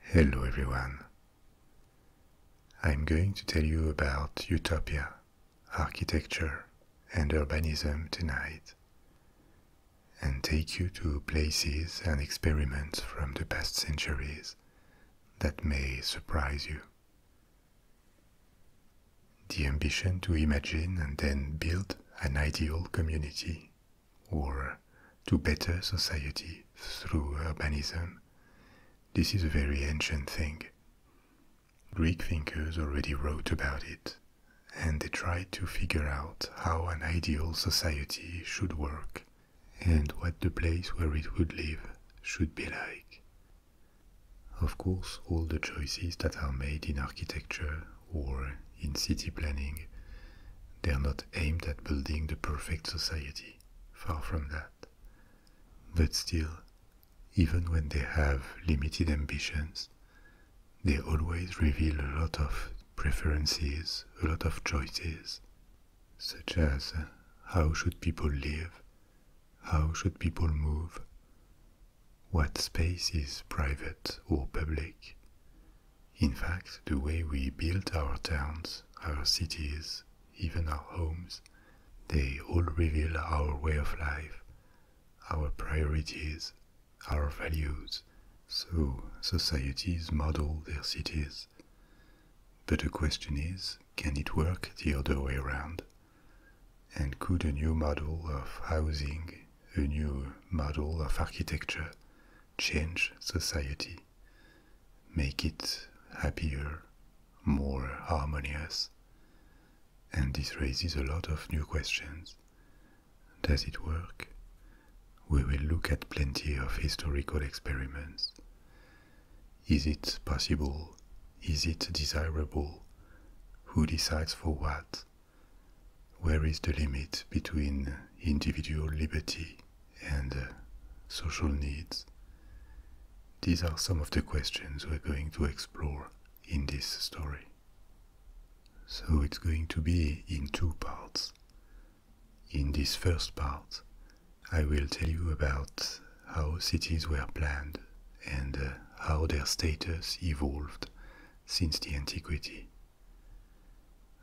Hello everyone. I'm going to tell you about utopia, architecture, and urbanism tonight, and take you to places and experiments from the past centuries that may surprise you. The ambition to imagine and then build an ideal community or to better society through urbanism. This is a very ancient thing. Greek thinkers already wrote about it, and they tried to figure out how an ideal society should work and what the place where it would live should be like. Of course, all the choices that are made in architecture or in city planning they are not aimed at building the perfect society, far from that. But still, even when they have limited ambitions, they always reveal a lot of preferences, a lot of choices, such as uh, how should people live, how should people move, what space is private or public, in fact, the way we build our towns, our cities, even our homes, they all reveal our way of life, our priorities, our values. So societies model their cities. But the question is, can it work the other way around? And could a new model of housing, a new model of architecture, change society, make it happier, more harmonious. And this raises a lot of new questions. Does it work? We will look at plenty of historical experiments. Is it possible? Is it desirable? Who decides for what? Where is the limit between individual liberty and uh, social needs? These are some of the questions we're going to explore in this story. So it's going to be in two parts. In this first part, I will tell you about how cities were planned and uh, how their status evolved since the antiquity.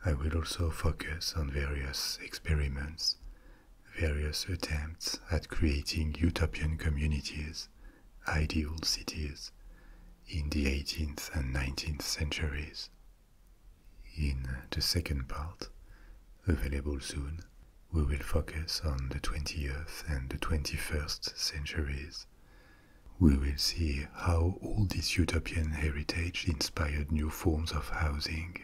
I will also focus on various experiments, various attempts at creating utopian communities, ideal cities, in the 18th and 19th centuries. In the second part, available soon, we will focus on the 20th and the 21st centuries we will see how all this utopian heritage inspired new forms of housing,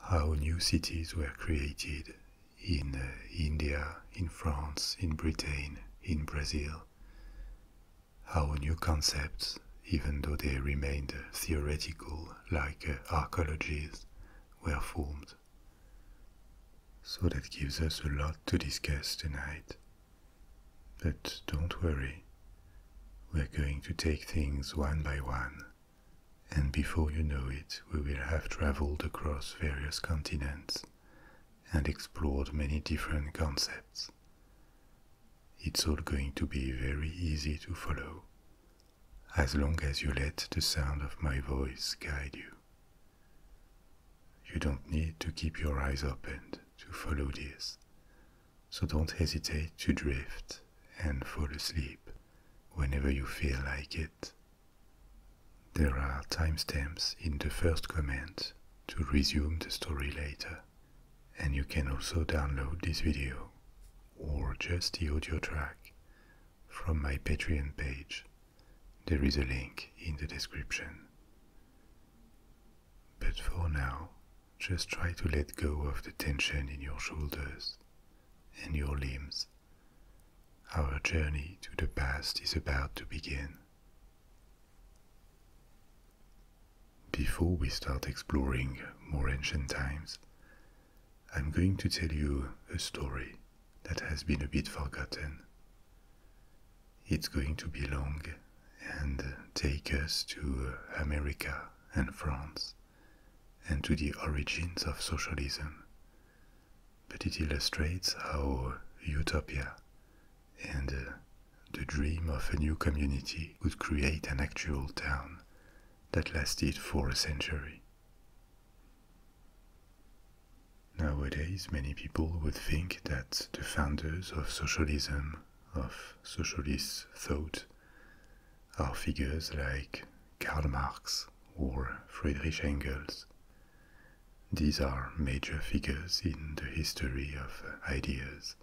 how new cities were created in uh, India, in France, in Britain, in Brazil, how new concepts, even though they remained theoretical like uh, archaeologies, were formed. So that gives us a lot to discuss tonight. But don't worry, we're going to take things one by one, and before you know it, we will have traveled across various continents and explored many different concepts. It's all going to be very easy to follow, as long as you let the sound of my voice guide you. You don't need to keep your eyes open to follow this. So don't hesitate to drift and fall asleep whenever you feel like it. There are timestamps in the first comment to resume the story later, and you can also download this video or just the audio track from my Patreon page. There is a link in the description. But for now, just try to let go of the tension in your shoulders and your limbs. Our journey to the past is about to begin. Before we start exploring more ancient times, I'm going to tell you a story that has been a bit forgotten it's going to be long and take us to America and France and to the origins of socialism. But it illustrates how utopia and uh, the dream of a new community could create an actual town that lasted for a century. Nowadays, many people would think that the founders of socialism of socialist thought are figures like Karl Marx or Friedrich Engels. These are major figures in the history of ideas,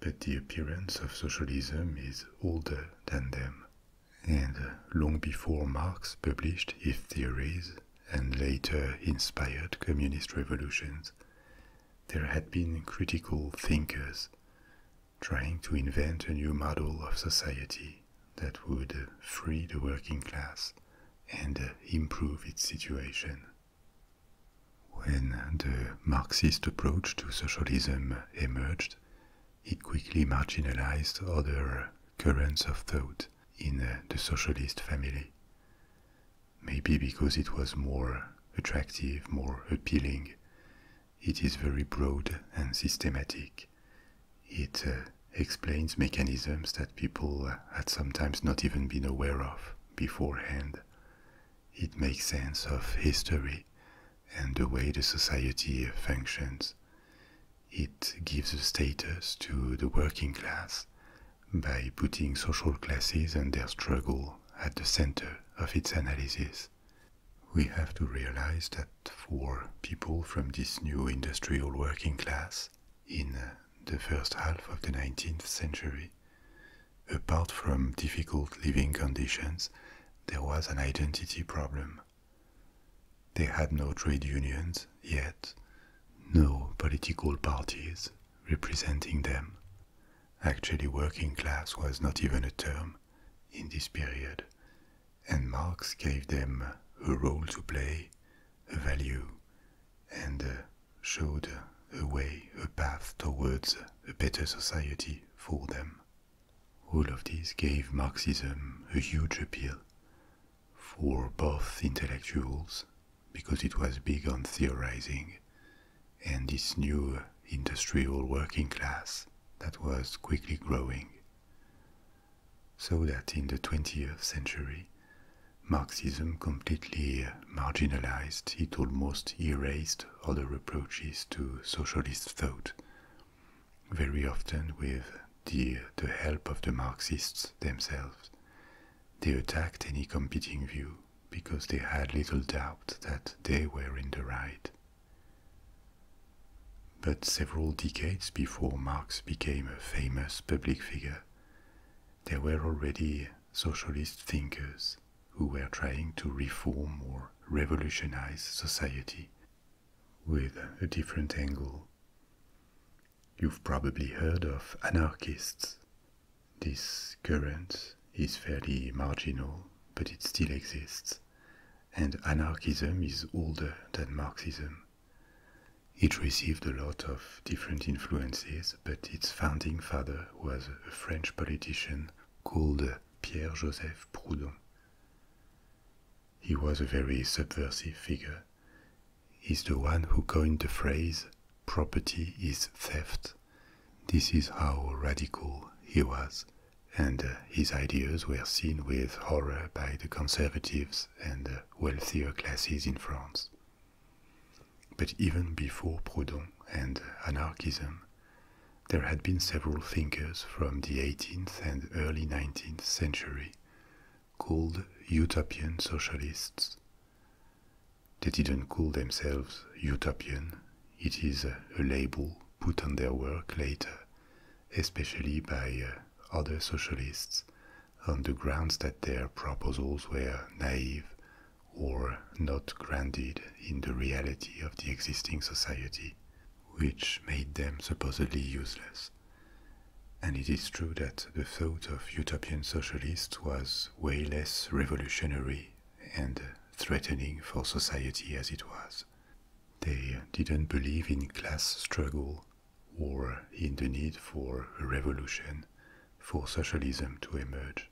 but the appearance of socialism is older than them, and long before Marx published his theories and later inspired communist revolutions, there had been critical thinkers trying to invent a new model of society that would free the working class and improve its situation. When the Marxist approach to socialism emerged, it quickly marginalized other currents of thought in the socialist family. Maybe because it was more attractive, more appealing. It is very broad and systematic. It uh, explains mechanisms that people had sometimes not even been aware of beforehand. It makes sense of history and the way the society functions. It gives a status to the working class by putting social classes and their struggle at the center of its analysis. We have to realize that for people from this new industrial working class in uh, the first half of the 19th century, apart from difficult living conditions, there was an identity problem. They had no trade unions yet, no political parties representing them. Actually, working class was not even a term in this period, and Marx gave them a role to play, a value, and uh, showed a way, a path towards a better society for them. All of this gave Marxism a huge appeal for both intellectuals because it was big on theorizing, and this new industrial working class that was quickly growing. So that in the 20th century, Marxism completely marginalized, it almost erased other approaches to socialist thought, very often with the, the help of the Marxists themselves. They attacked any competing view because they had little doubt that they were in the right. But several decades before Marx became a famous public figure, there were already socialist thinkers who were trying to reform or revolutionize society with a different angle. You've probably heard of anarchists, this current is fairly marginal, but it still exists, and anarchism is older than Marxism. It received a lot of different influences, but its founding father was a French politician called Pierre Joseph Proudhon. He was a very subversive figure, is the one who coined the phrase property is theft. This is how radical he was, and uh, his ideas were seen with horror by the conservatives and wealthier classes in France. But even before Proudhon and anarchism, there had been several thinkers from the 18th and early 19th century called utopian socialists. They didn't call themselves utopian, it is a label put on their work later, especially by uh, other socialists, on the grounds that their proposals were naive or not grounded in the reality of the existing society, which made them supposedly useless. And it is true that the thought of utopian socialists was way less revolutionary and threatening for society as it was. They didn't believe in class struggle or in the need for a revolution for socialism to emerge.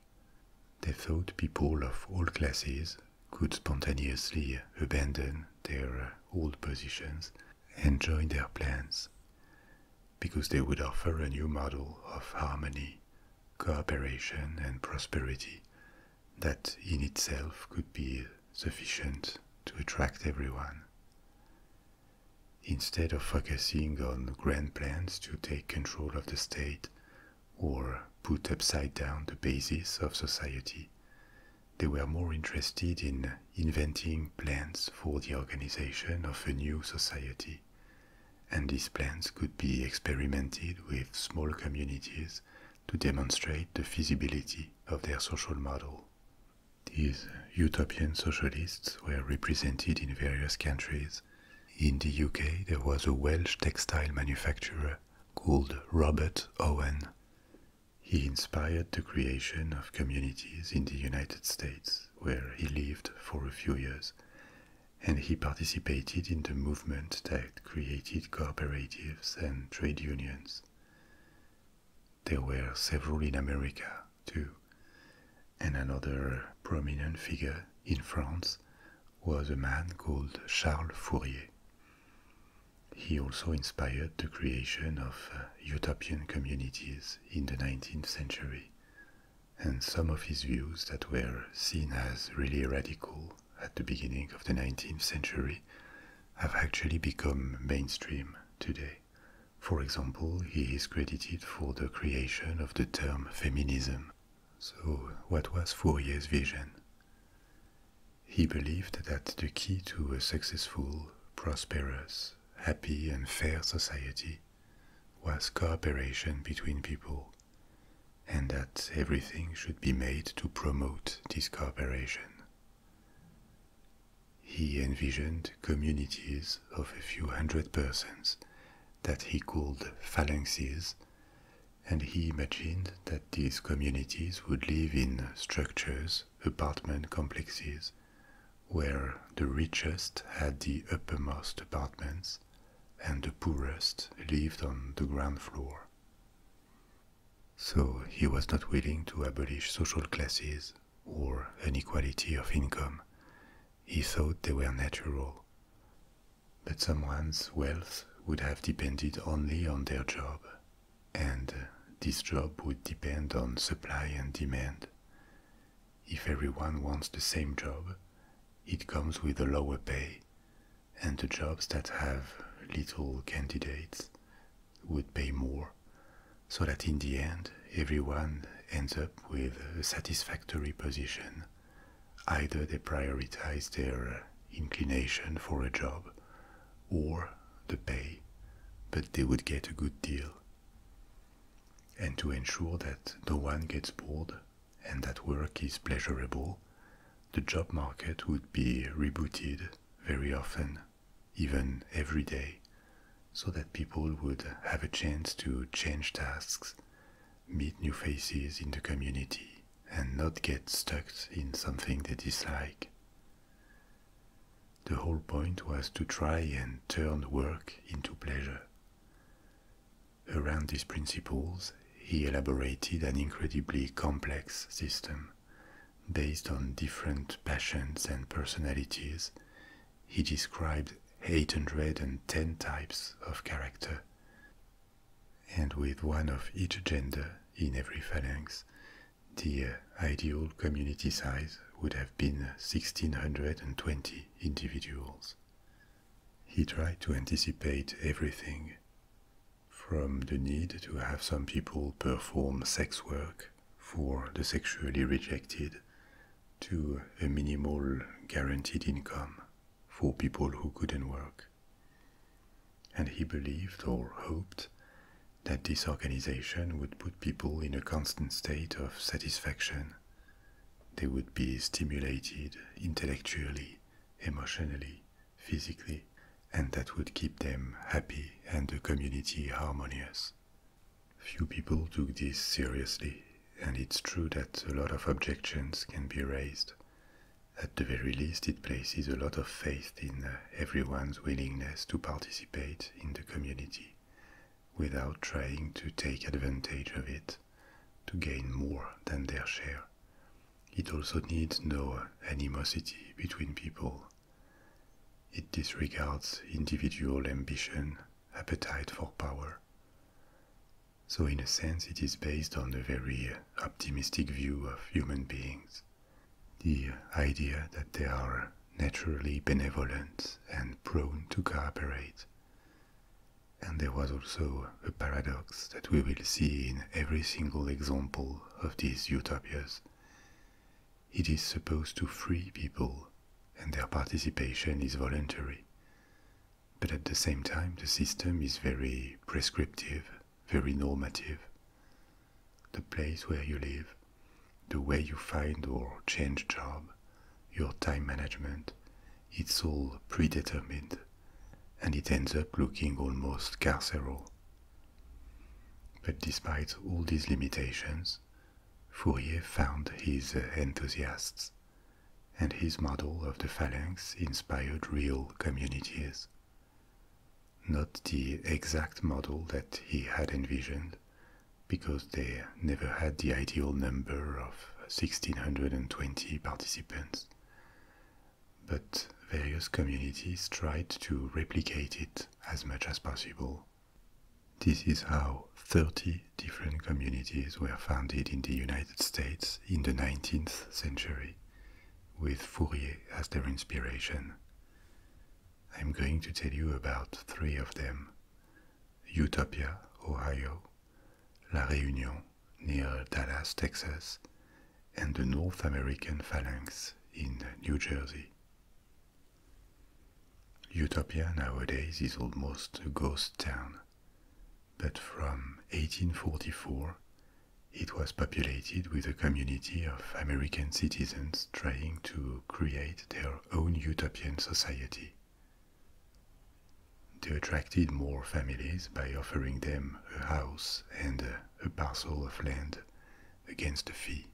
They thought people of all classes could spontaneously abandon their old positions and join their plans because they would offer a new model of harmony, cooperation, and prosperity that in itself could be sufficient to attract everyone. Instead of focusing on grand plans to take control of the state or put upside down the basis of society, they were more interested in inventing plans for the organization of a new society and these plans could be experimented with small communities to demonstrate the feasibility of their social model. These utopian socialists were represented in various countries. In the UK, there was a Welsh textile manufacturer called Robert Owen. He inspired the creation of communities in the United States where he lived for a few years, and he participated in the movement that created cooperatives and trade unions. There were several in America, too, and another prominent figure in France was a man called Charles Fourier. He also inspired the creation of uh, utopian communities in the 19th century, and some of his views that were seen as really radical at the beginning of the 19th century have actually become mainstream today. For example, he is credited for the creation of the term feminism. So, what was Fourier's vision? He believed that the key to a successful, prosperous, happy, and fair society was cooperation between people, and that everything should be made to promote this cooperation. He envisioned communities of a few hundred persons that he called phalanxes, and he imagined that these communities would live in structures, apartment complexes, where the richest had the uppermost apartments and the poorest lived on the ground floor. So he was not willing to abolish social classes or an equality of income. He thought they were natural. But someone's wealth would have depended only on their job, and this job would depend on supply and demand, if everyone wants the same job, it comes with a lower pay, and the jobs that have little candidates would pay more, so that in the end, everyone ends up with a satisfactory position. Either they prioritize their uh, inclination for a job or the pay, but they would get a good deal. And to ensure that no one gets bored and that work is pleasurable, the job market would be rebooted very often, even every day, so that people would have a chance to change tasks, meet new faces in the community, and not get stuck in something they dislike. The whole point was to try and turn work into pleasure Around these principles, he elaborated an incredibly complex system. Based on different passions and personalities, he described 810 types of character, and with one of each gender in every phalanx, the uh, ideal community size would have been 1620 individuals. He tried to anticipate everything, from the need to have some people perform sex work for the sexually rejected to a minimal guaranteed income for people who couldn't work. And he believed or hoped that this organization would put people in a constant state of satisfaction they would be stimulated intellectually, emotionally, physically, and that would keep them happy and the community harmonious. Few people took this seriously, and it's true that a lot of objections can be raised. At the very least, it places a lot of faith in uh, everyone's willingness to participate in the community without trying to take advantage of it to gain more than their share. It also needs no animosity between people. It disregards individual ambition, appetite for power. So, in a sense, it is based on a very optimistic view of human beings. The idea that they are naturally benevolent and prone to cooperate. And there was also a paradox that we will see in every single example of these utopias. It is supposed to free people, and their participation is voluntary. But at the same time, the system is very prescriptive, very normative. The place where you live, the way you find or change job, your time management, it's all predetermined, and it ends up looking almost carceral. But despite all these limitations, Fourier found his enthusiasts, and his model of the phalanx inspired real communities. Not the exact model that he had envisioned, because they never had the ideal number of 1620 participants. But various communities tried to replicate it as much as possible. This is how 30 different communities were founded in the United States in the 19th century, with Fourier as their inspiration. I'm going to tell you about three of them Utopia, Ohio, La Réunion near Dallas, Texas, and the North American Phalanx in New Jersey. Utopia nowadays is almost a ghost town, but from 1844 it was populated with a community of American citizens trying to create their own utopian society. They attracted more families by offering them a house and a parcel of land against a fee.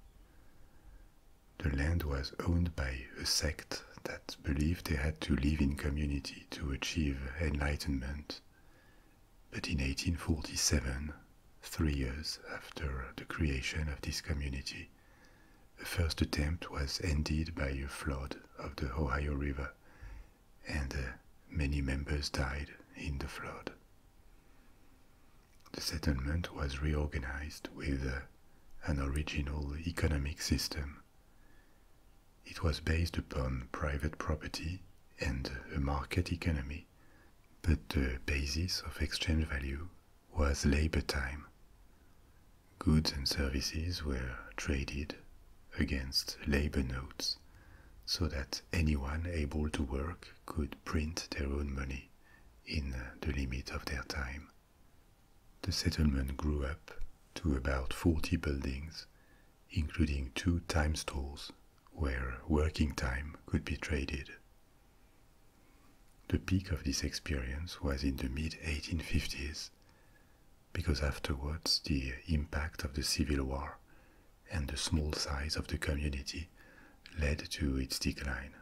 The land was owned by a sect that believed they had to live in community to achieve enlightenment. But in 1847, three years after the creation of this community, the first attempt was ended by a flood of the Ohio River, and uh, many members died in the flood. The settlement was reorganized with uh, an original economic system. It was based upon private property and a market economy, but the basis of exchange value was labor time. Goods and services were traded against labor notes so that anyone able to work could print their own money in the limit of their time. The settlement grew up to about 40 buildings, including two time stores where working time could be traded. The peak of this experience was in the mid 1850s because afterwards the impact of the Civil War and the small size of the community led to its decline.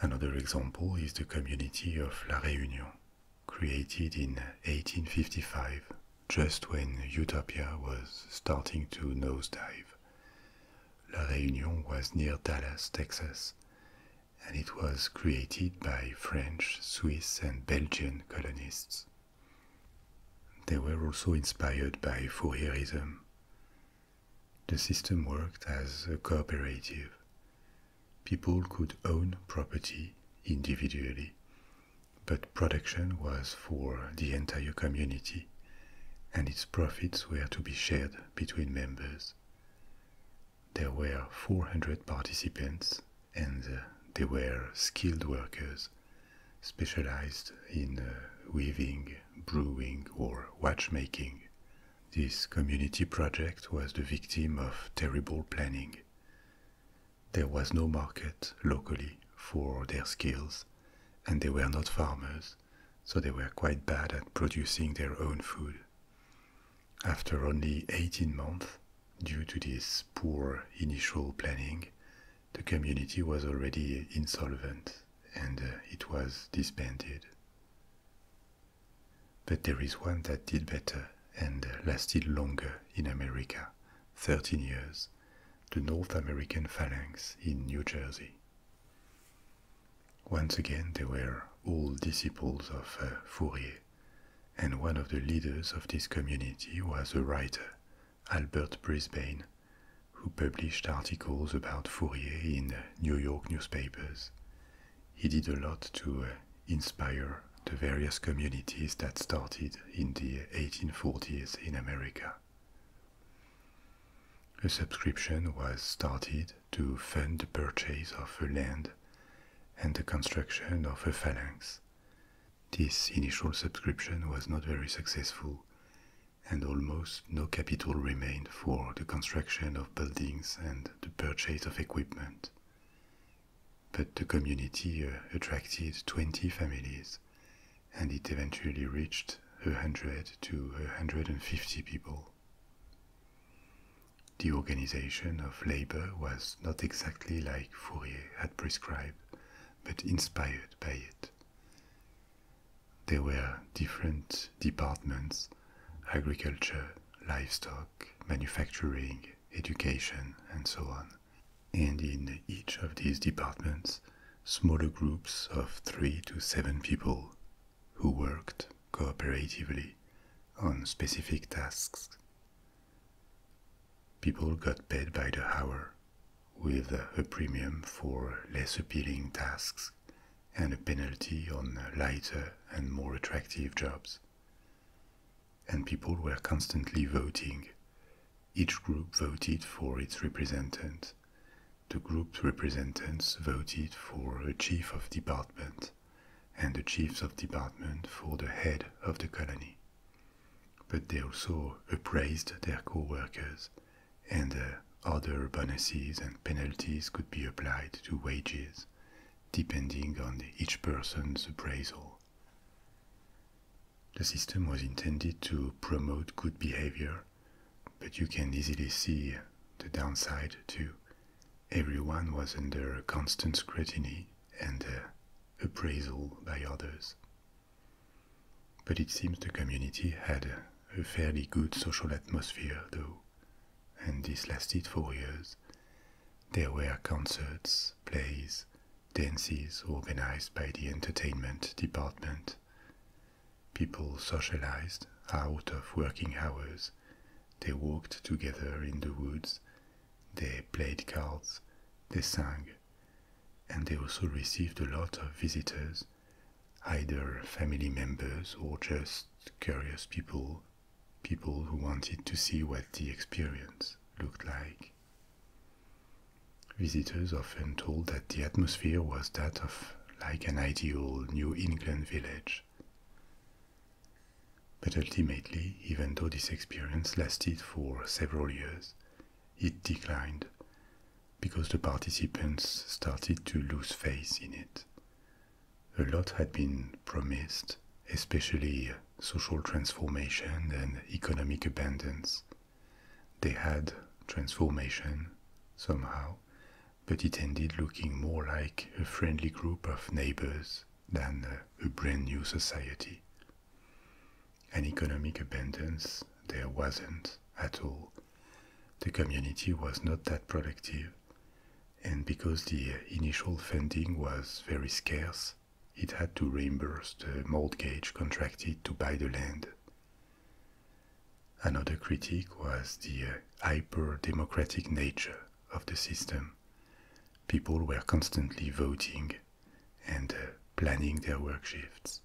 Another example is the community of La Réunion, created in 1855, just when Utopia was starting to nosedive. La Réunion was near Dallas, Texas, and it was created by French, Swiss, and Belgian colonists. They were also inspired by Fourierism. The system worked as a cooperative. People could own property individually, but production was for the entire community, and its profits were to be shared between members. There were 400 participants, and uh, they were skilled workers specialized in uh, weaving, brewing, or watchmaking. This community project was the victim of terrible planning. There was no market locally for their skills, and they were not farmers, so they were quite bad at producing their own food. After only 18 months, due to this poor initial planning, the community was already insolvent and uh, it was disbanded. But there is one that did better and lasted longer in America, 13 years, the North American Phalanx in New Jersey. Once again, they were all disciples of uh, Fourier, and one of the leaders of this community was a writer, Albert Brisbane, who published articles about Fourier in uh, New York newspapers. He did a lot to uh, inspire the various communities that started in the 1840s in America. A subscription was started to fund the purchase of a land and the construction of a phalanx. This initial subscription was not very successful, and almost no capital remained for the construction of buildings and the purchase of equipment. But the community uh, attracted 20 families, and it eventually reached 100 to 150 people. The organization of labor was not exactly like Fourier had prescribed, but inspired by it. There were different departments agriculture, livestock, manufacturing, education, and so on. And in each of these departments, smaller groups of three to seven people who worked cooperatively on specific tasks. People got paid by the hour, with a premium for less appealing tasks and a penalty on lighter and more attractive jobs. And people were constantly voting. Each group voted for its representative. The group's representatives voted for a chief of department, and the chiefs of department for the head of the colony. But they also appraised their co workers, and other bonuses and penalties could be applied to wages, depending on each person's appraisal. The system was intended to promote good behavior, but you can easily see the downside too, everyone was under constant scrutiny and uh, appraisal by others. But it seems the community had a fairly good social atmosphere, though, and this lasted for years. There were concerts, plays, dances organized by the entertainment department. People socialized out of working hours they walked together in the woods, they played cards, they sang, and they also received a lot of visitors, either family members or just curious people, people who wanted to see what the experience looked like. Visitors often told that the atmosphere was that of like an ideal New England village. But ultimately, even though this experience lasted for several years, it declined because the participants started to lose faith in it. A lot had been promised, especially social transformation and economic abundance. They had transformation, somehow, but it ended looking more like a friendly group of neighbors than a brand new society. An economic abundance there wasn't at all. The community was not that productive, and because the initial funding was very scarce, it had to reimburse the mortgage contracted to buy the land. Another critique was the uh, hyper democratic nature of the system. People were constantly voting and uh, planning their work shifts,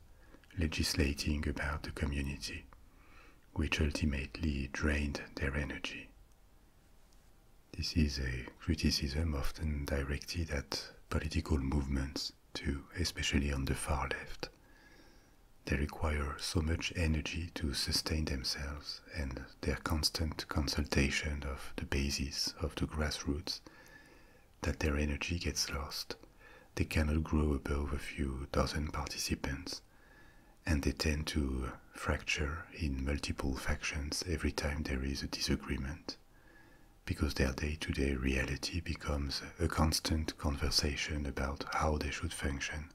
legislating about the community, which ultimately drained their energy. This is a criticism often directed at political movements, too, especially on the far left. They require so much energy to sustain themselves, and their constant consultation of the bases of the grassroots, that their energy gets lost. They cannot grow above a few dozen participants, and they tend to fracture in multiple factions every time there is a disagreement, because their day to day reality becomes a constant conversation about how they should function.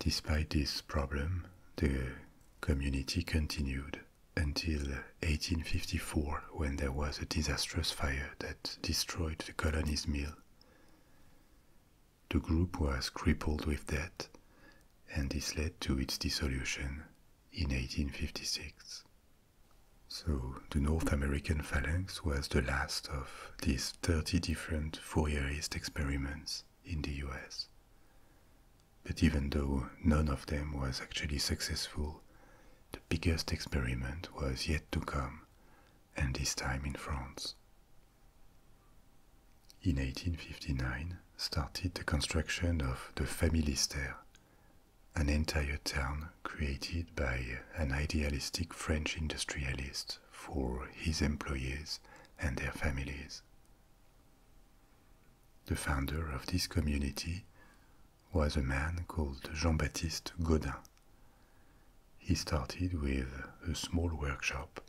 Despite this problem, the community continued until 1854 when there was a disastrous fire that destroyed the colony's mill. The group was crippled with debt, and this led to its dissolution in 1856. So, the North American Phalanx was the last of these 30 different Fourierist experiments in the US. But even though none of them was actually successful, the biggest experiment was yet to come, and this time in France. In 1859 started the construction of the Famille Familistère, an entire town created by an idealistic French industrialist for his employees and their families. The founder of this community was a man called Jean-Baptiste Gaudin. He started with a small workshop,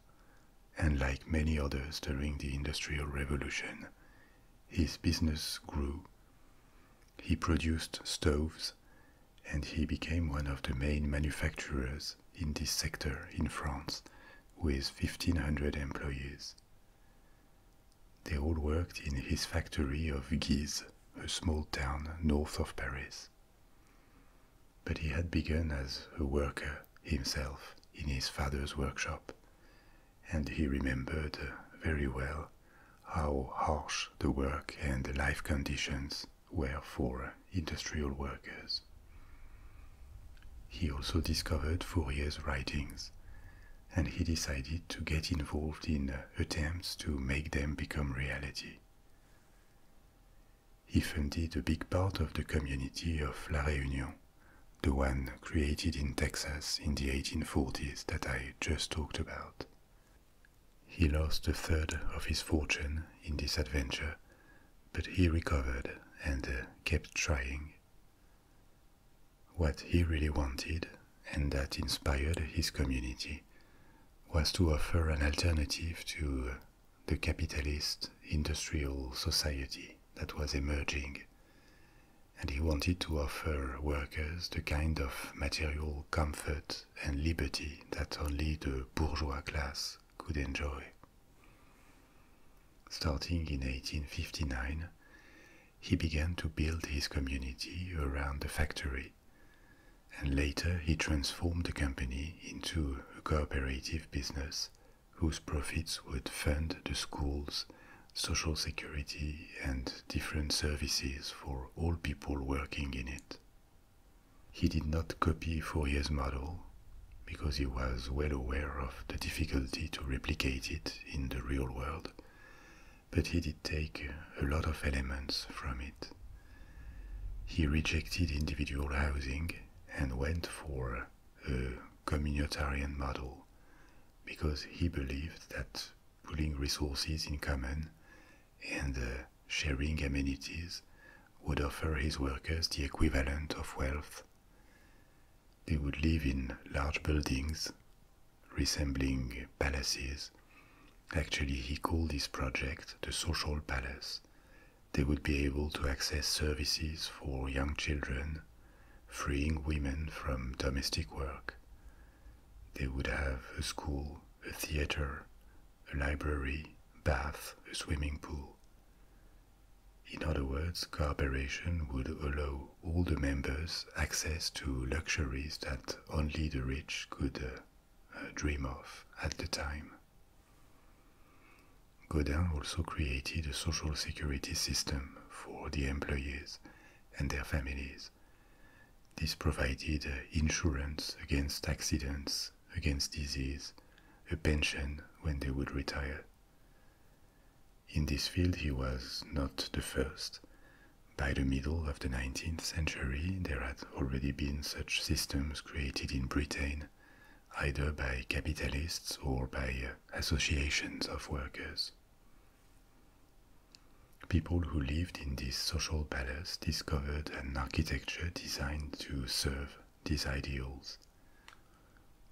and like many others during the Industrial Revolution, his business grew. He produced stoves, and he became one of the main manufacturers in this sector in France with 1500 employees. They all worked in his factory of Guise, a small town north of Paris. But he had begun as a worker himself in his father's workshop, and he remembered very well how harsh the work and the life conditions where for industrial workers. He also discovered Fourier's writings, and he decided to get involved in uh, attempts to make them become reality. He founded a big part of the community of La Réunion, the one created in Texas in the 1840s that I just talked about. He lost a third of his fortune in this adventure but he recovered and uh, kept trying. What he really wanted, and that inspired his community, was to offer an alternative to uh, the capitalist industrial society that was emerging. And he wanted to offer workers the kind of material comfort and liberty that only the bourgeois class could enjoy. Starting in 1859, he began to build his community around the factory, and later he transformed the company into a cooperative business whose profits would fund the schools, social security, and different services for all people working in it. He did not copy Fourier's model because he was well aware of the difficulty to replicate it in the real world, but he did take a lot of elements from it. He rejected individual housing and went for a communitarian model because he believed that pooling resources in common and uh, sharing amenities, would offer his workers the equivalent of wealth. They would live in large buildings, resembling palaces. Actually, he called this project the social palace. They would be able to access services for young children, freeing women from domestic work. They would have a school, a theater, a library, bath, a swimming pool. In other words, cooperation would allow all the members access to luxuries that only the rich could uh, uh, dream of at the time. Godin also created a social security system for the employees and their families. This provided uh, insurance against accidents against disease, a pension when they would retire. In this field, he was not the first. By the middle of the 19th century, there had already been such systems created in Britain, either by capitalists or by uh, associations of workers. People who lived in this social palace discovered an architecture designed to serve these ideals.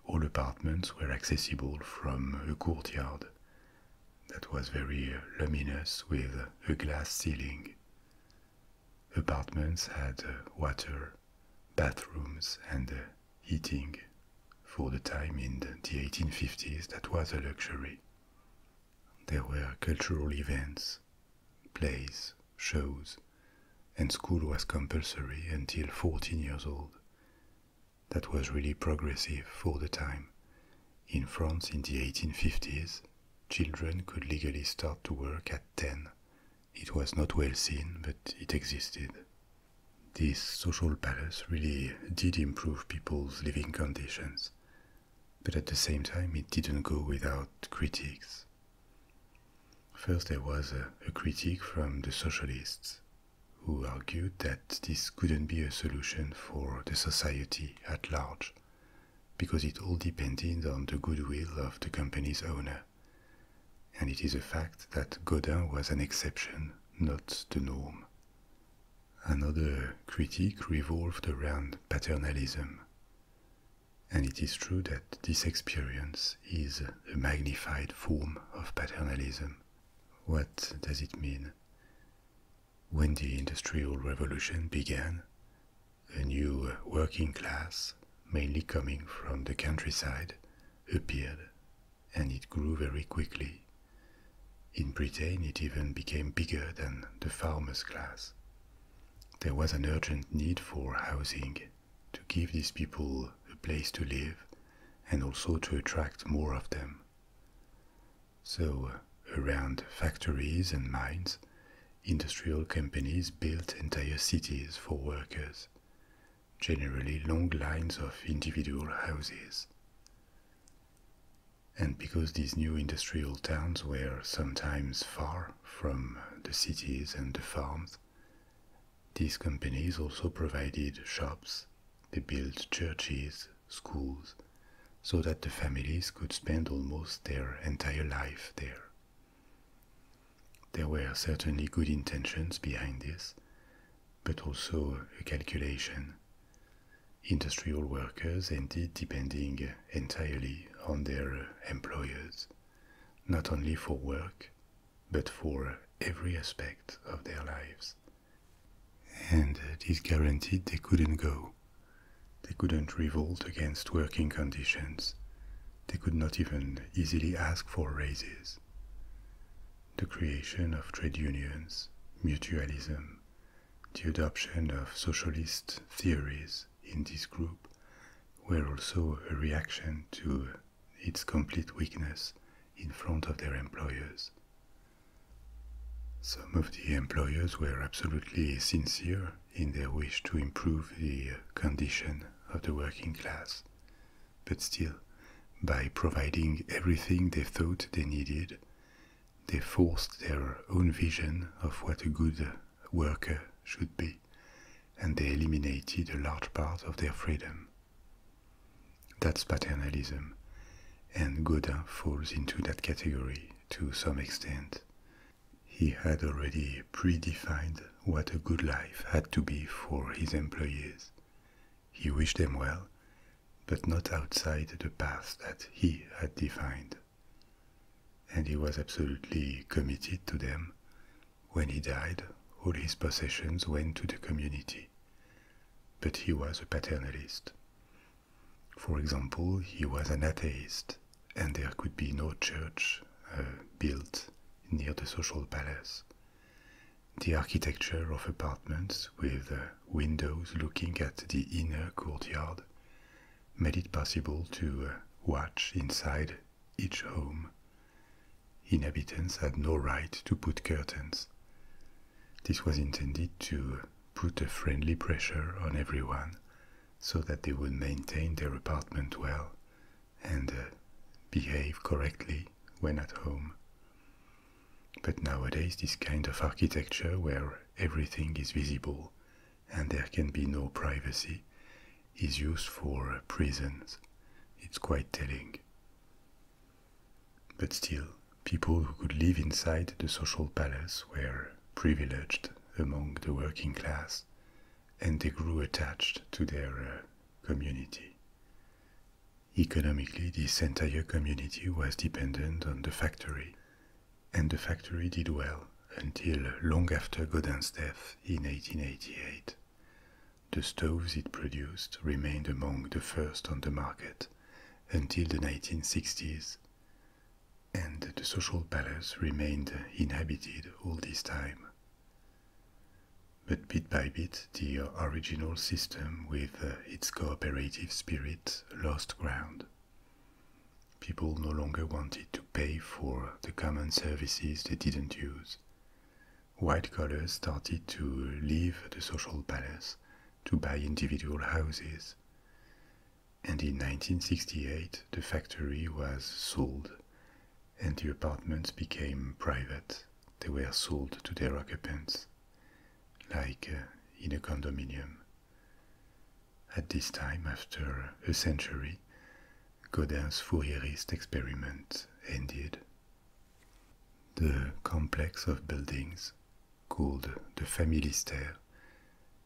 All apartments were accessible from a courtyard that was very luminous with a glass ceiling. Apartments had water, bathrooms, and heating. For the time in the 1850s, that was a luxury. There were cultural events, plays, shows, and school was compulsory until 14 years old. That was really progressive for the time. In France in the 1850s, children could legally start to work at 10. It was not well seen, but it existed. This social balance really did improve people's living conditions, but at the same time, it didn't go without critics. First, there was a, critique from the socialists who argued that this couldn't be a solution for the society at large because it all depended on the goodwill of the company's owner. And it is a fact that Godin was an exception, not the norm. Another critique revolved around paternalism and it is true that this experience is a magnified form of paternalism. What does it mean? When the Industrial Revolution began, a new working class, mainly coming from the countryside, appeared, and it grew very quickly. In Britain, it even became bigger than the farmers' class. There was an urgent need for housing to give these people a place to live and also to attract more of them. So, uh, around factories and mines, industrial companies built entire cities for workers, generally long lines of individual houses. And because these new industrial towns were sometimes far from the cities and the farms. These companies also provided shops, they built churches, schools, so that the families could spend almost their entire life there. There were certainly good intentions behind this, but also a calculation. Industrial workers ended depending entirely on their employers not only for work, but for every aspect of their lives. And it is guaranteed they couldn't go. They couldn't revolt against working conditions. They could not even easily ask for raises. The creation of trade unions, mutualism, the adoption of socialist theories in this group were also a reaction to its complete weakness in front of their employers. Some of the employers were absolutely sincere in their wish to improve the condition of the working class, but still, by providing everything they thought they needed, they forced their own vision of what a good worker should be and they eliminated a large part of their freedom. That's paternalism, and Godin falls into that category to some extent. He had already predefined what a good life had to be for his employees. He wished them well, but not outside the path that he had defined and he was absolutely committed to them. When he died, all his possessions went to the community. But he was a paternalist. For example, he was an atheist, and there could be no church uh, built near the social palace. The architecture of apartments with uh, windows looking at the inner courtyard made it possible to uh, watch inside each home. Inhabitants had no right to put curtains. This was intended to put a friendly pressure on everyone so that they would maintain their apartment well and uh, behave correctly when at home. But nowadays, this kind of architecture where everything is visible and there can be no privacy, is used for uh, prisons. It's quite telling. But still, people who could live inside the social palace were privileged among the working class, and they grew attached to their uh, community. Economically, this entire community was dependent on the factory, and the factory did well until long after Godin's death in 1888. The stoves it produced remained among the first on the market until the 1960s, and the social palace remained inhabited all this time. But bit by bit, the original system with uh, its cooperative spirit lost ground people no longer wanted to pay for the common services they didn't use. White collars started to leave the social palace to buy individual houses. And in 1968, the factory was sold and the apartments became private. They were sold to their occupants, like uh, in a condominium. At this time, after a century, Godin's Fourierist experiment ended. The complex of buildings, called the Familistère,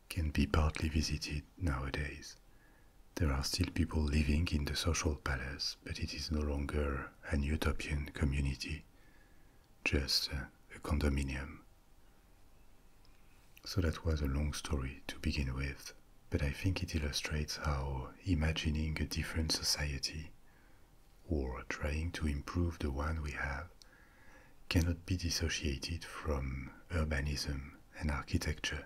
can be partly visited nowadays. There are still people living in the social palace, but it is no longer an utopian community, just a condominium. So that was a long story to begin with, but I think it illustrates how imagining a different society, or trying to improve the one we have, cannot be dissociated from urbanism and architecture.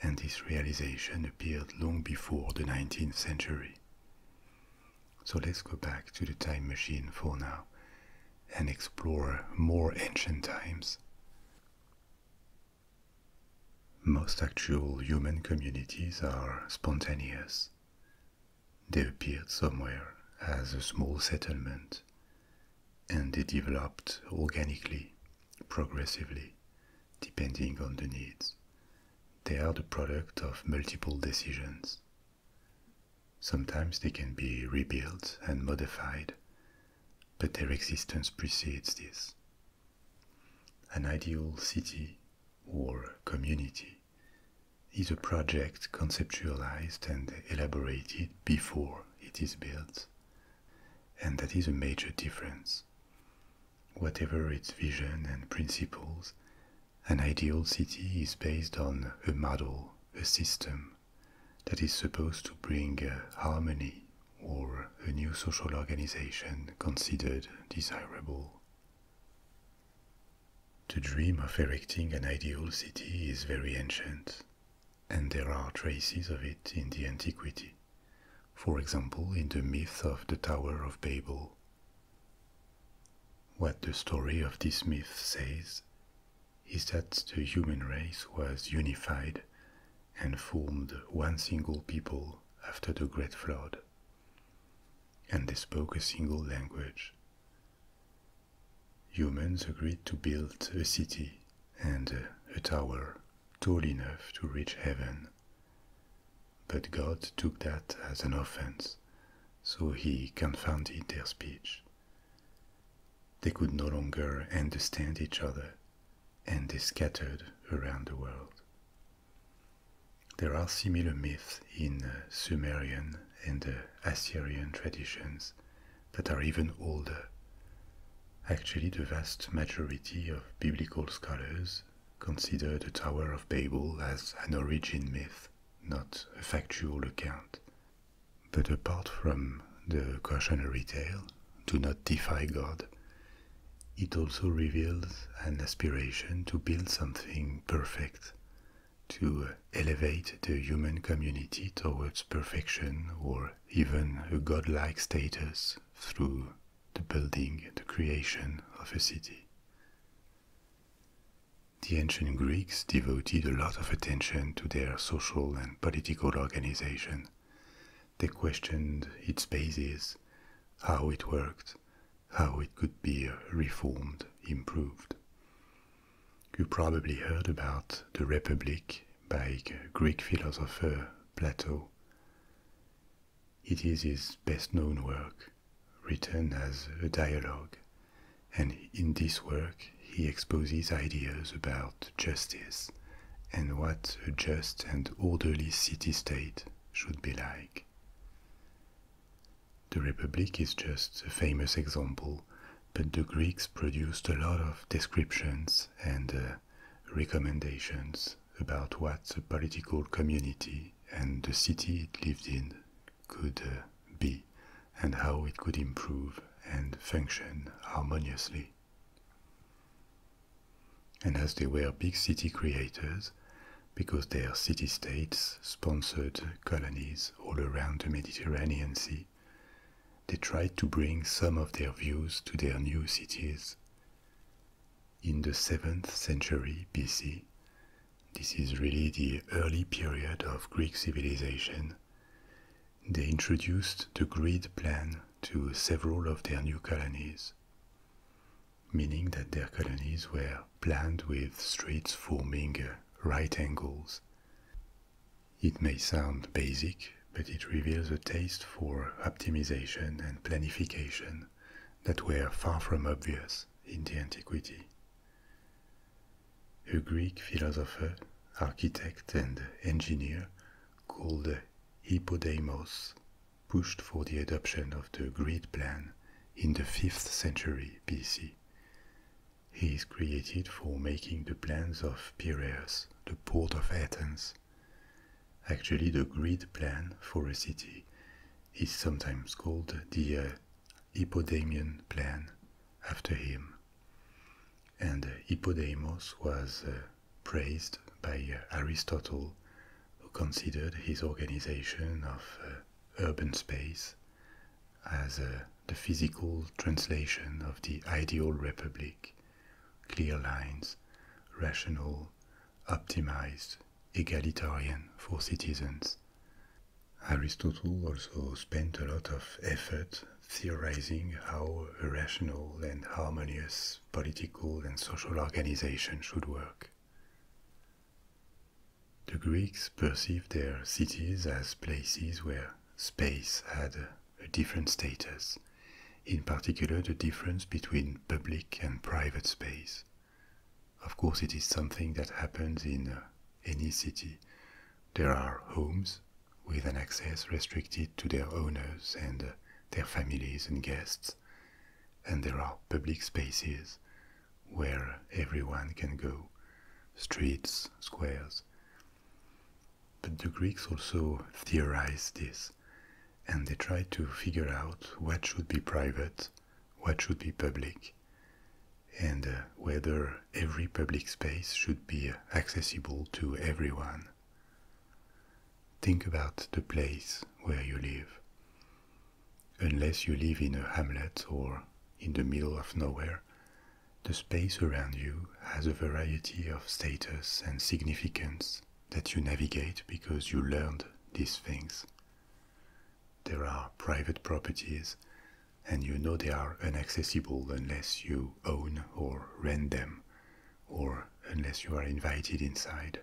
And this realization appeared long before the 19th century. So let's go back to the time machine for now and explore more ancient times. Most actual human communities are spontaneous. They appeared somewhere as a small settlement and they developed organically, progressively, depending on the needs. They are the product of multiple decisions. Sometimes they can be rebuilt and modified but their existence precedes this. An ideal city or community is a project conceptualized and elaborated before it is built, and that is a major difference. Whatever its vision and principles, an ideal city is based on a model, a system, that is supposed to bring harmony or a new social organization considered desirable. The dream of erecting an ideal city is very ancient, and there are traces of it in the antiquity, for example, in the myth of the Tower of Babel. What the story of this myth says is that the human race was unified and formed one single people after the Great Flood. And they spoke a single language. Humans agreed to build a city and a tower tall enough to reach heaven. But God took that as an offense, so he confounded their speech. They could no longer understand each other and is scattered around the world. There are similar myths in uh, Sumerian and uh, Assyrian traditions that are even older. Actually, the vast majority of biblical scholars consider the Tower of Babel as an origin myth, not a factual account, but apart from the cautionary tale, do not defy God, it also reveals an aspiration to build something perfect, to elevate the human community towards perfection or even a godlike status through the building, the creation of a city. The ancient Greeks devoted a lot of attention to their social and political organization. They questioned its basis, how it worked, how it could be reformed, improved. You probably heard about the Republic by Greek philosopher Plato. It is his best known work, written as a dialogue, and in this work he exposes ideas about justice and what a just and orderly city state should be like. The Republic is just a famous example, but the Greeks produced a lot of descriptions and uh, recommendations about what a political community and the city it lived in could uh, be and how it could improve and function harmoniously. And as they were big city creators, because their city states sponsored colonies all around the Mediterranean Sea, they tried to bring some of their views to their new cities. In the 7th century BC, this is really the early period of Greek civilization, they introduced the grid plan to several of their new colonies, meaning that their colonies were planned with streets forming uh, right angles. It may sound basic, but it reveals a taste for optimization and planification that were far from obvious in the antiquity. A Greek philosopher, architect, and engineer called Hippodamos pushed for the adoption of the grid plan in the 5th century BC. He is credited for making the plans of Piraeus, the port of Athens. Actually, the grid plan for a city is sometimes called the uh, Hippodamian plan after him and uh, Hippodamus was uh, praised by uh, Aristotle, who considered his organization of urban space as the physical translation of the ideal republic clear lines, rational, optimized, egalitarian for citizens. Aristotle also spent a lot of effort theorizing how a rational and harmonious political and social organization should work. The Greeks perceived their cities as places where space had a different status, in particular the difference between public and private space. Of course, it is something that happens in any city. There are homes with an access restricted to their owners and uh, their families and guests, and there are public spaces where everyone can go streets, squares. But the Greeks also theorized this, and they tried to figure out what should be private, what should be public, and uh, whether every public space should be uh, accessible to everyone Think about the place where you live. Unless you live in a hamlet or in the middle of nowhere, the space around you has a variety of status and significance that you navigate because you learned these things. There are private properties, and you know they are inaccessible unless you own or rent them, or unless you are invited inside.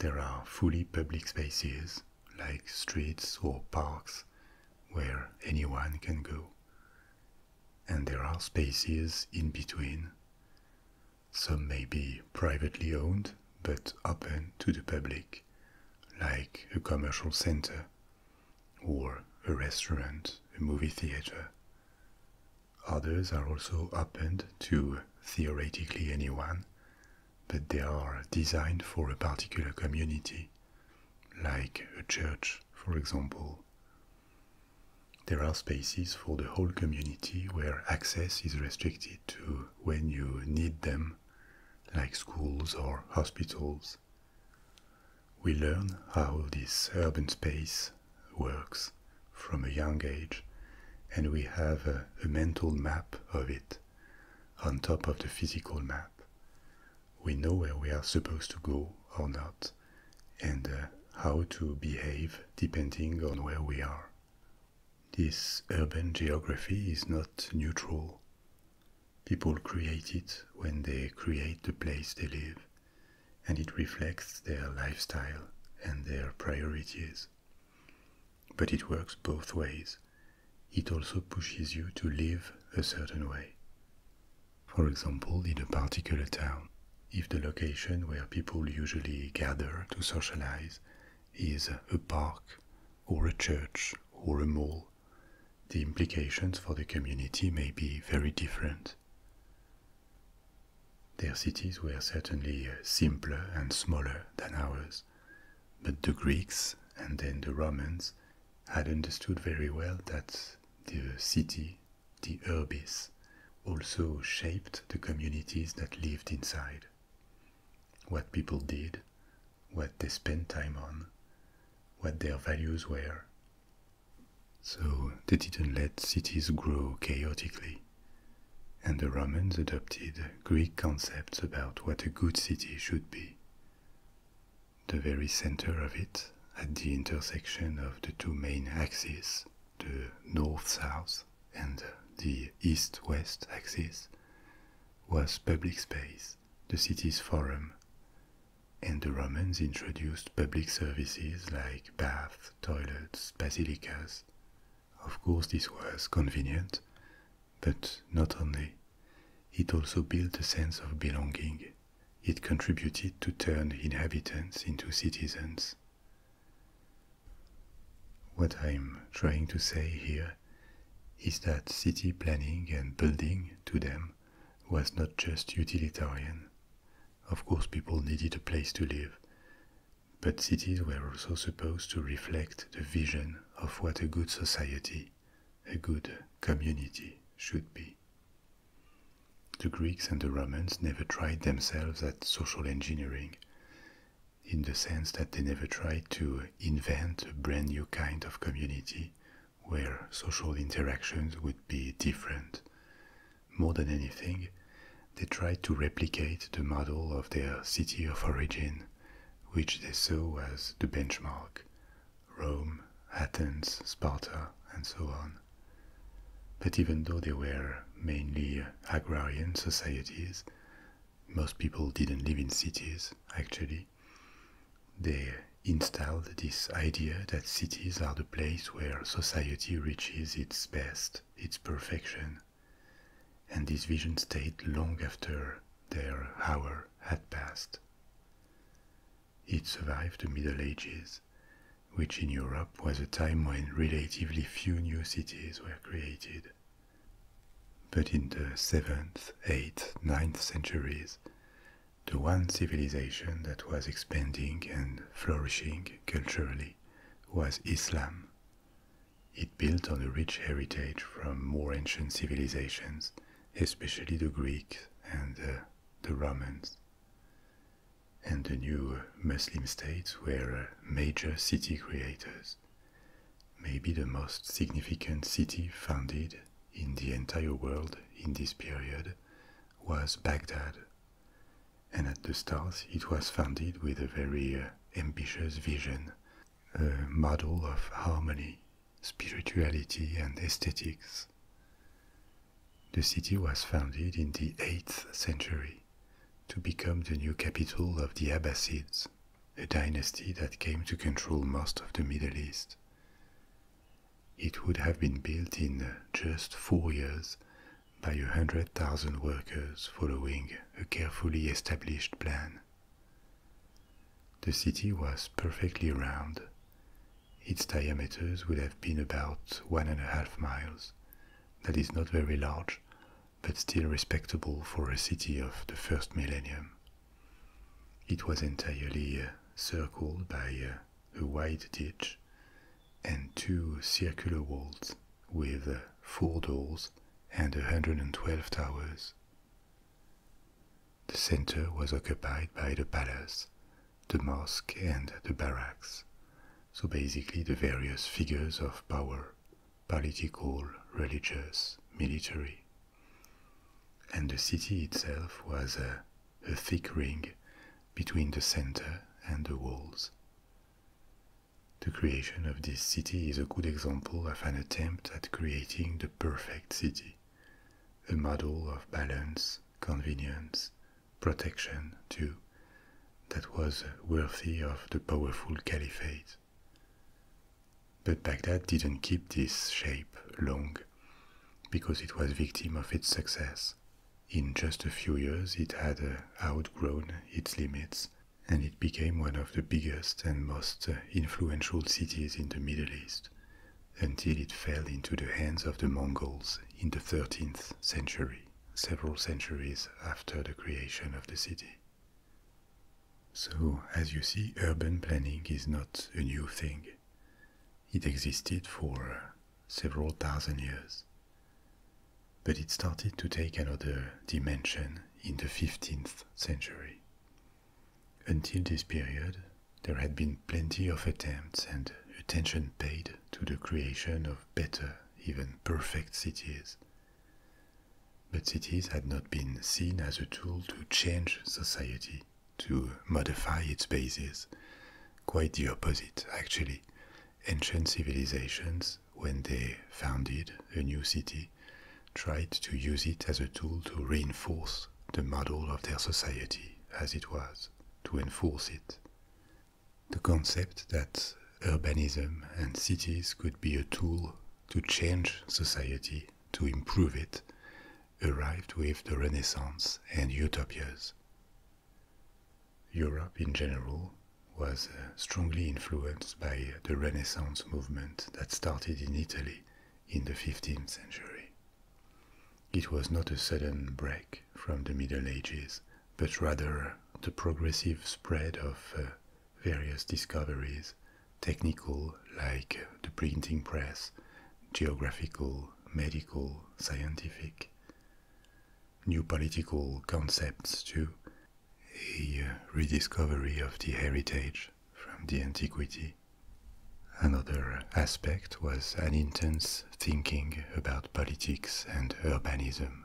There are fully public spaces, like streets or parks, where anyone can go. And there are spaces in between. Some may be privately owned but open to the public, like a commercial center or a restaurant, a movie theater. Others are also open to theoretically anyone, but they are designed for a particular community, like a church, for example. There are spaces for the whole community where access is restricted to when you need them, like schools or hospitals. We learn how this urban space works from a young age, and we have a, mental map of it on top of the physical map. We know where we are supposed to go or not, and uh, how to behave depending on where we are. This urban geography is not neutral. People create it when they create the place they live and it reflects their lifestyle and their priorities. But it works both ways. It also pushes you to live a certain way. For example, in a particular town, if the location where people usually gather to socialize is a park or a church or a mall, the implications for the community may be very different. Their cities were certainly uh, simpler and smaller than ours, but the Greeks and then the Romans had understood very well that the city, the urbis, also shaped the communities that lived inside. What people did, what they spent time on, what their values were, so they didn't let cities grow chaotically, and the Romans adopted Greek concepts about what a good city should be. The very center of it, at the intersection of the two main axes, the north-south and the east-west axis, was public space, the city's forum and the Romans introduced public services like baths, toilets, basilicas. Of course, this was convenient, but not only. It also built a sense of belonging. It contributed to turn inhabitants into citizens. What I'm trying to say here is that city planning and building to them was not just utilitarian. Of course, people needed a place to live, but cities were also supposed to reflect the vision of what a good society, a good community, should be. The Greeks and the Romans never tried themselves at social engineering, in the sense that they never tried to invent a brand new kind of community where social interactions would be different. More than anything, they tried to replicate the model of their city of origin, which they saw as the benchmark Rome, Athens, Sparta, and so on. But even though they were mainly agrarian societies, most people didn't live in cities, actually. They installed this idea that cities are the place where society reaches its best, its perfection. And this vision stayed long after their hour had passed. It survived the Middle Ages, which in Europe was a time when relatively few new cities were created. But in the 7th, 8th, 9th centuries, the one civilization that was expanding and flourishing culturally was Islam. It built on a rich heritage from more ancient civilizations, especially the Greeks and uh, the Romans. And the new Muslim states were uh, major city creators. Maybe the most significant city founded in the entire world in this period was Baghdad. And at the start, it was founded with a very uh, ambitious vision, a model of harmony, spirituality, and aesthetics. The city was founded in the 8th century to become the new capital of the Abbasids, a dynasty that came to control most of the Middle East. It would have been built in just four years by a hundred thousand workers following a carefully established plan. The city was perfectly round. Its diameters would have been about one and a half miles. That is not very large, but still respectable for a city of the first millennium. It was entirely uh, circled by uh, a wide ditch, and two circular walls with four doors and 112 towers. The center was occupied by the palace, the mosque, and the barracks, so basically the various figures of power political, religious, military. And the city itself was a, a thick ring between the center and the walls. The creation of this city is a good example of an attempt at creating the perfect city, a model of balance, convenience, protection, too, that was worthy of the powerful caliphate. But Baghdad didn't keep this shape long because it was victim of its success in just a few years, it had uh, outgrown its limits and it became one of the biggest and most uh, influential cities in the Middle East until it fell into the hands of the Mongols in the 13th century, several centuries after the creation of the city. So, as you see, urban planning is not a new thing. It existed for several thousand years. But it started to take another dimension in the 15th century. Until this period, there had been plenty of attempts and attention paid to the creation of better, even perfect cities. But cities had not been seen as a tool to change society to modify its bases. Quite the opposite, actually. Ancient civilizations, when they founded a new city, tried to use it as a tool to reinforce the model of their society as it was, to enforce it. The concept that urbanism and cities could be a tool to change society, to improve it, arrived with the Renaissance and utopias. Europe in general was uh, strongly influenced by the Renaissance movement that started in Italy in the 15th century. It was not a sudden break from the Middle Ages, but rather the progressive spread of uh, various discoveries, technical like the printing press, geographical medical, scientific. New political concepts, to A uh, rediscovery of the heritage from the antiquity. Another aspect was an intense thinking about politics and urbanism.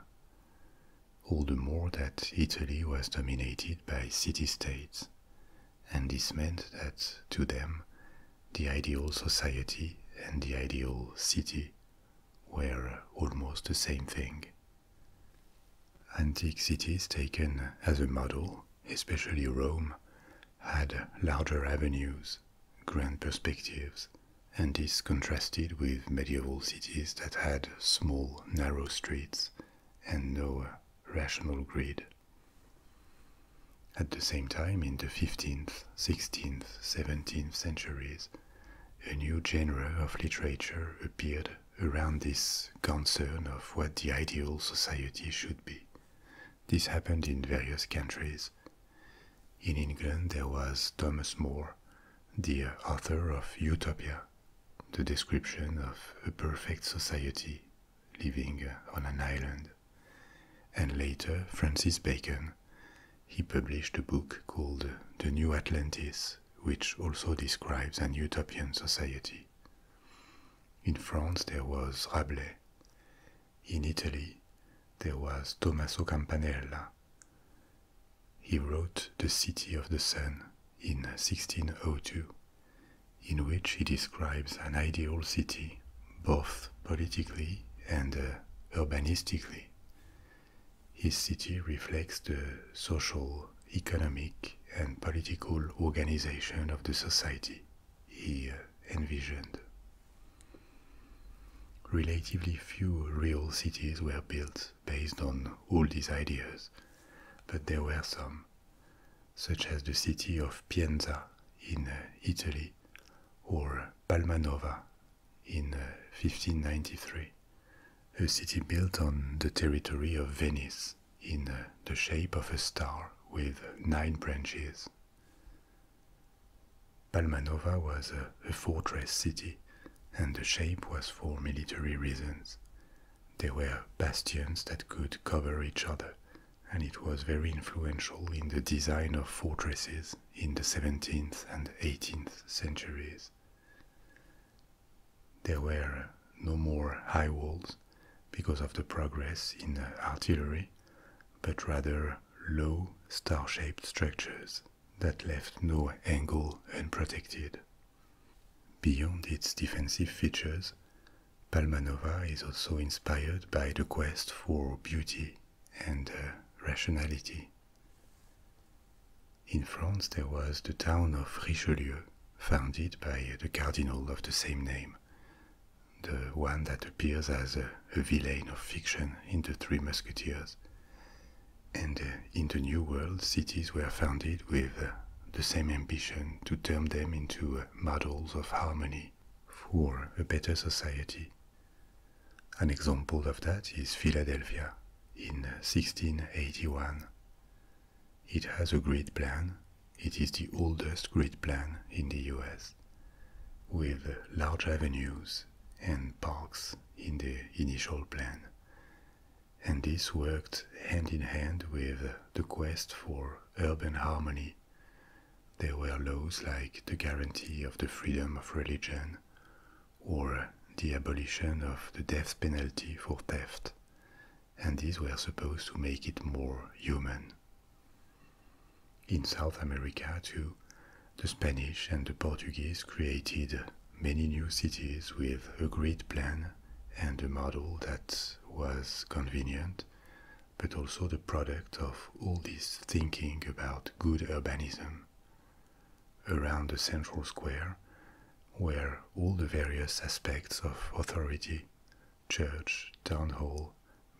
All the more that Italy was dominated by city states, and this meant that to them the ideal society and the ideal city were almost the same thing. Antique cities taken as a model, especially Rome, had larger avenues, grand perspectives, and this contrasted with medieval cities that had small, narrow streets and no rational grid. At the same time, in the 15th, 16th, 17th centuries, a new genre of literature appeared around this concern of what the ideal society should be. This happened in various countries. In England, there was Thomas More, the author of Utopia, the description of a perfect society living on an island and later Francis Bacon. He published a book called The New Atlantis, which also describes an utopian society. In France, there was Rabelais. In Italy, there was Tommaso Campanella. He wrote The City of the Sun in 1602, in which he describes an ideal city both politically and uh, urbanistically. His city reflects the social, economic, and political organization of the society he uh, envisioned. Relatively few real cities were built based on all these ideas, but there were some, such as the city of Pienza in uh, Italy or Palmanova in 1593, uh, a city built on the territory of Venice in uh, the shape of a star with nine branches. Palmanova was a, fortress city, and the shape was for military reasons. There were bastions that could cover each other and it was very influential in the design of fortresses in the 17th and 18th centuries. There were no more high walls because of the progress in artillery, but rather low, star shaped structures that left no angle unprotected. Beyond its defensive features, Palmanova is also inspired by the quest for beauty and uh, rationality. In France, there was the town of Richelieu, founded by uh, the cardinal of the same name, the one that appears as a, villain of fiction in The Three Musketeers. And uh, in the New World, cities were founded with the same ambition to turn them into models of harmony for a better society. An example of that is Philadelphia in 1681. It has a grid plan. It is the oldest grid plan in the US, with large avenues and parks in the initial plan. And this worked hand in hand with the quest for urban harmony, there were laws like the guarantee of the freedom of religion or the abolition of the death penalty for theft, and these were supposed to make it more human. In South America, too, the Spanish and the Portuguese created many new cities with a grid plan and a model that was convenient but also the product of all this thinking about good urbanism. Around the central square where all the various aspects of authority church, town hall,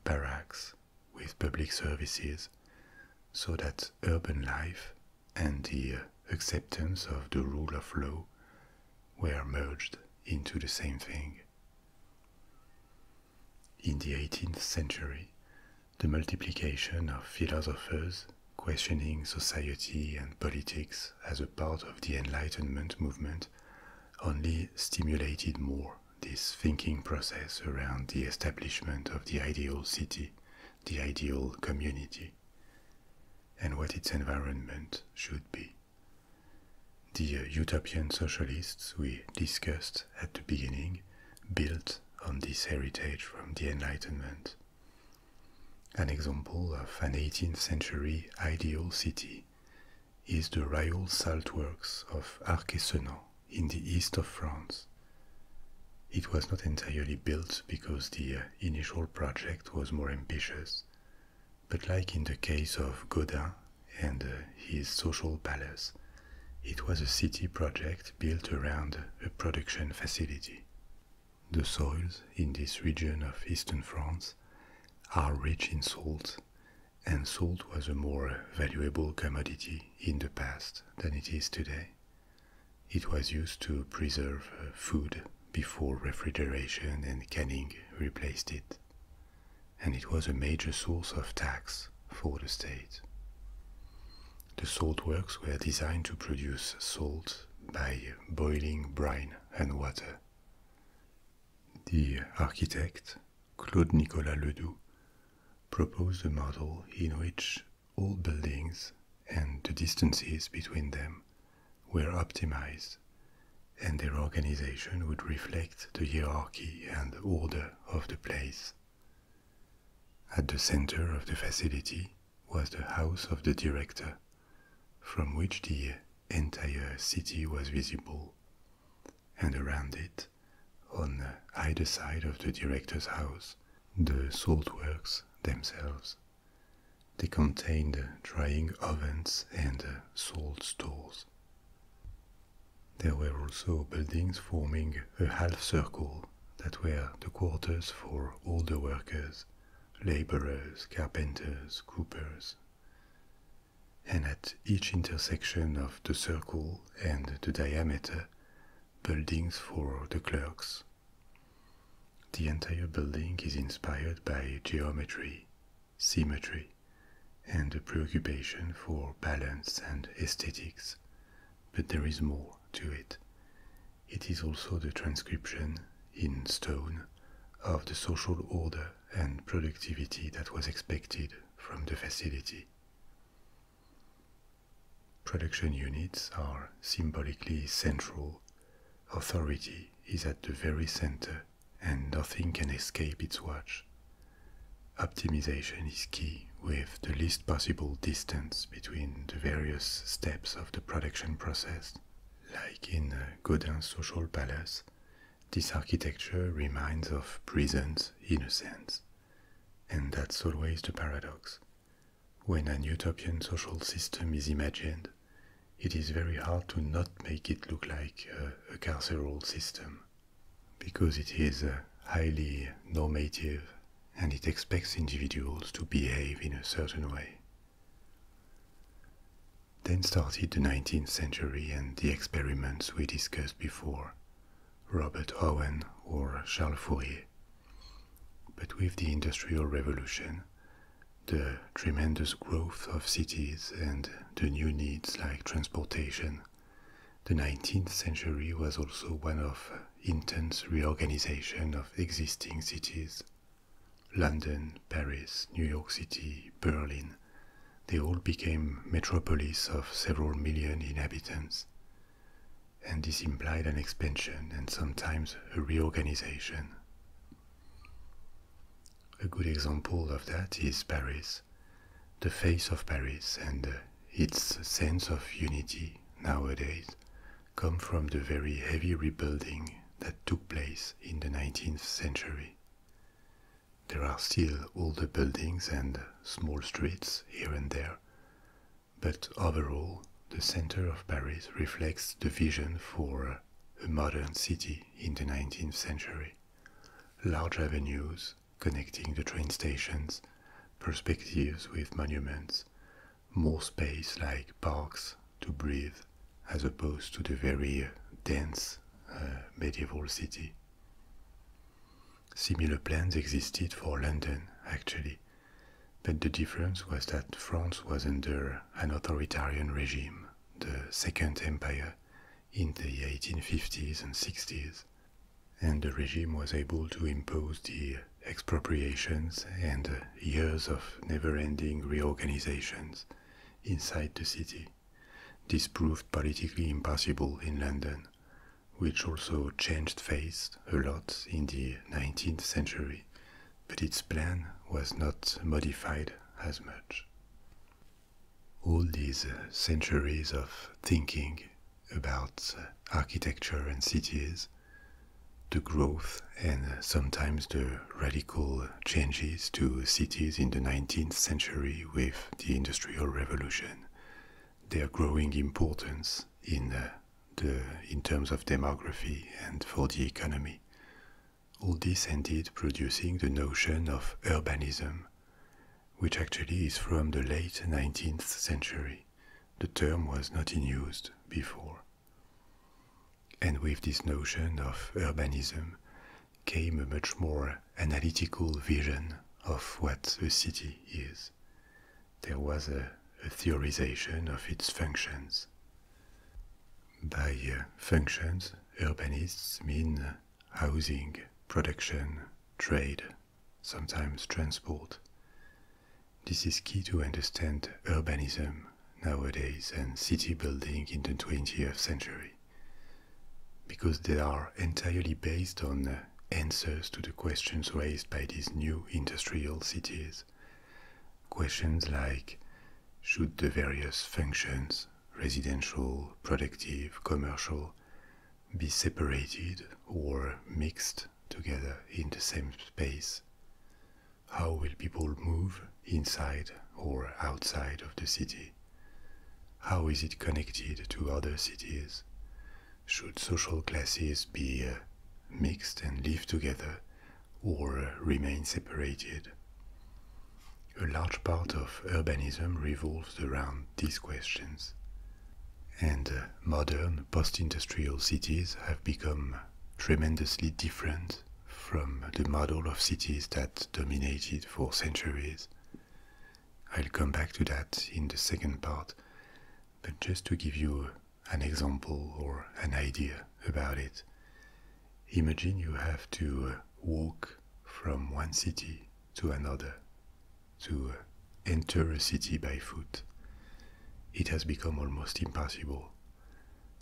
barracks, with public services, so that urban life and the uh, acceptance of the rule of law were merged into the same thing. In the 18th century, the multiplication of philosophers questioning society and politics as a part of the Enlightenment movement only stimulated more this thinking process around the establishment of the ideal city, the ideal community, and what its environment should be. The uh, utopian socialists we discussed at the beginning built on this heritage from the Enlightenment. An example of an 18th century ideal city is the Rayol salt works of Arquesenan in the east of France. It was not entirely built because the uh, initial project was more ambitious, but like in the case of Gaudin and uh, his social palace, it was a city project built around a production facility. The soils in this region of eastern France are rich in salt, and salt was a more valuable commodity in the past than it is today. It was used to preserve uh, food before refrigeration and canning replaced it and it was a major source of tax for the state. The salt works were designed to produce salt by boiling brine and water. The architect, Claude Nicolas Ledoux, proposed a model in which all buildings and the distances between them were optimized, and their organization would reflect the hierarchy and order of the place. At the center of the facility was the house of the director, from which the entire city was visible, and around it, on either side of the director's house, the salt works themselves. They contained drying ovens and salt stores. There were also buildings forming a half circle that were the quarters for all the workers, laborers, carpenters, coopers. And at each intersection of the circle and the diameter, buildings for the clerks. The entire building is inspired by geometry, symmetry, and a preoccupation for balance and aesthetics, but there is more to it. It is also the transcription in stone of the social order and productivity that was expected from the facility. Production units are symbolically central. Authority is at the very center, and nothing can escape its watch. Optimization is key with the least possible distance between the various steps of the production process. Like in Godin's social palace, this architecture reminds of prisons in a sense. And that's always the paradox. When an utopian social system is imagined, it is very hard to not make it look like a carceral system because it is uh, highly normative and it expects individuals to behave in a certain way. Then started the 19th century and the experiments we discussed before, Robert Owen or Charles Fourier. But with the Industrial Revolution, the tremendous growth of cities and the new needs like transportation, the 19th century was also one of intense reorganization of existing cities. London, Paris, New York City, Berlin, they all became metropolis of several million inhabitants. And this implied an expansion and sometimes a reorganization. A good example of that is Paris, the face of Paris and uh, its sense of unity nowadays come from the very heavy rebuilding that took place in the 19th century. There are still older buildings and small streets here and there, but overall, the center of Paris reflects the vision for a modern city in the 19th century. Large avenues, connecting the train stations, perspectives with monuments, more space like parks to breathe, as opposed to the very dense uh, medieval city. Similar plans existed for London, actually, but the difference was that France was under an authoritarian regime, the Second Empire, in the 1850s and 60s, and the regime was able to impose the expropriations and years of never-ending reorganizations inside the city. This proved politically impossible in London, which also changed face a lot in the 19th century, but its plan was not modified as much. All these uh, centuries of thinking about uh, architecture and cities, the growth and uh, sometimes the radical changes to cities in the 19th century with the Industrial Revolution, their growing importance in the, in terms of demography and for the economy. All this ended producing the notion of urbanism, which actually is from the late 19th century. The term was not in use before. And with this notion of urbanism came a much more analytical vision of what a city is. There was a, theorization of its functions. By uh, functions, urbanists mean uh, housing, production, trade, sometimes transport. This is key to understand urbanism nowadays and city building in the 20th century, because they are entirely based on answers to the questions raised by these new industrial cities. Questions like should the various functions, residential, productive, commercial, be separated or mixed together in the same space? How will people move inside or outside of the city? How is it connected to other cities? Should social classes be uh, mixed and live together or remain separated? A large part of urbanism revolves around these questions. And uh, modern post industrial cities have become tremendously different from the model of cities that dominated for centuries. I'll come back to that in the second part, but just to give you an example or an idea about it, imagine you have to uh, walk from one city to another, to enter a city by foot. It has become almost impossible.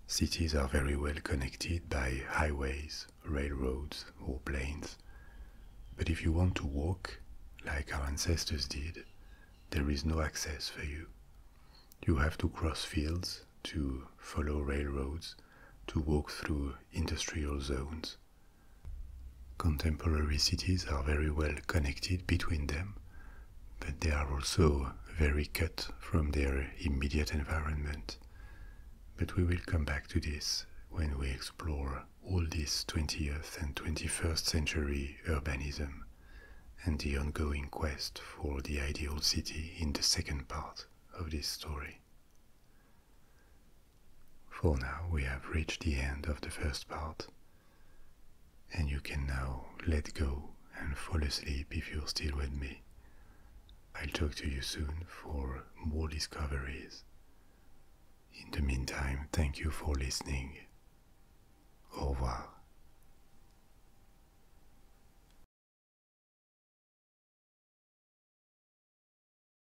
Cities are very well connected by highways, railroads, or planes. But if you want to walk, like our ancestors did, there is no access for you. You have to cross fields, to follow railroads, to walk through industrial zones. Contemporary cities are very well connected between them, but they are also very cut from their immediate environment. But we will come back to this when we explore all this 20th and 21st century urbanism and the ongoing quest for the ideal city in the second part of this story. For now we have reached the end of the first part, and you can now let go and fall asleep if you're still with me. I'll talk to you soon for more discoveries. In the meantime, thank you for listening. Au revoir.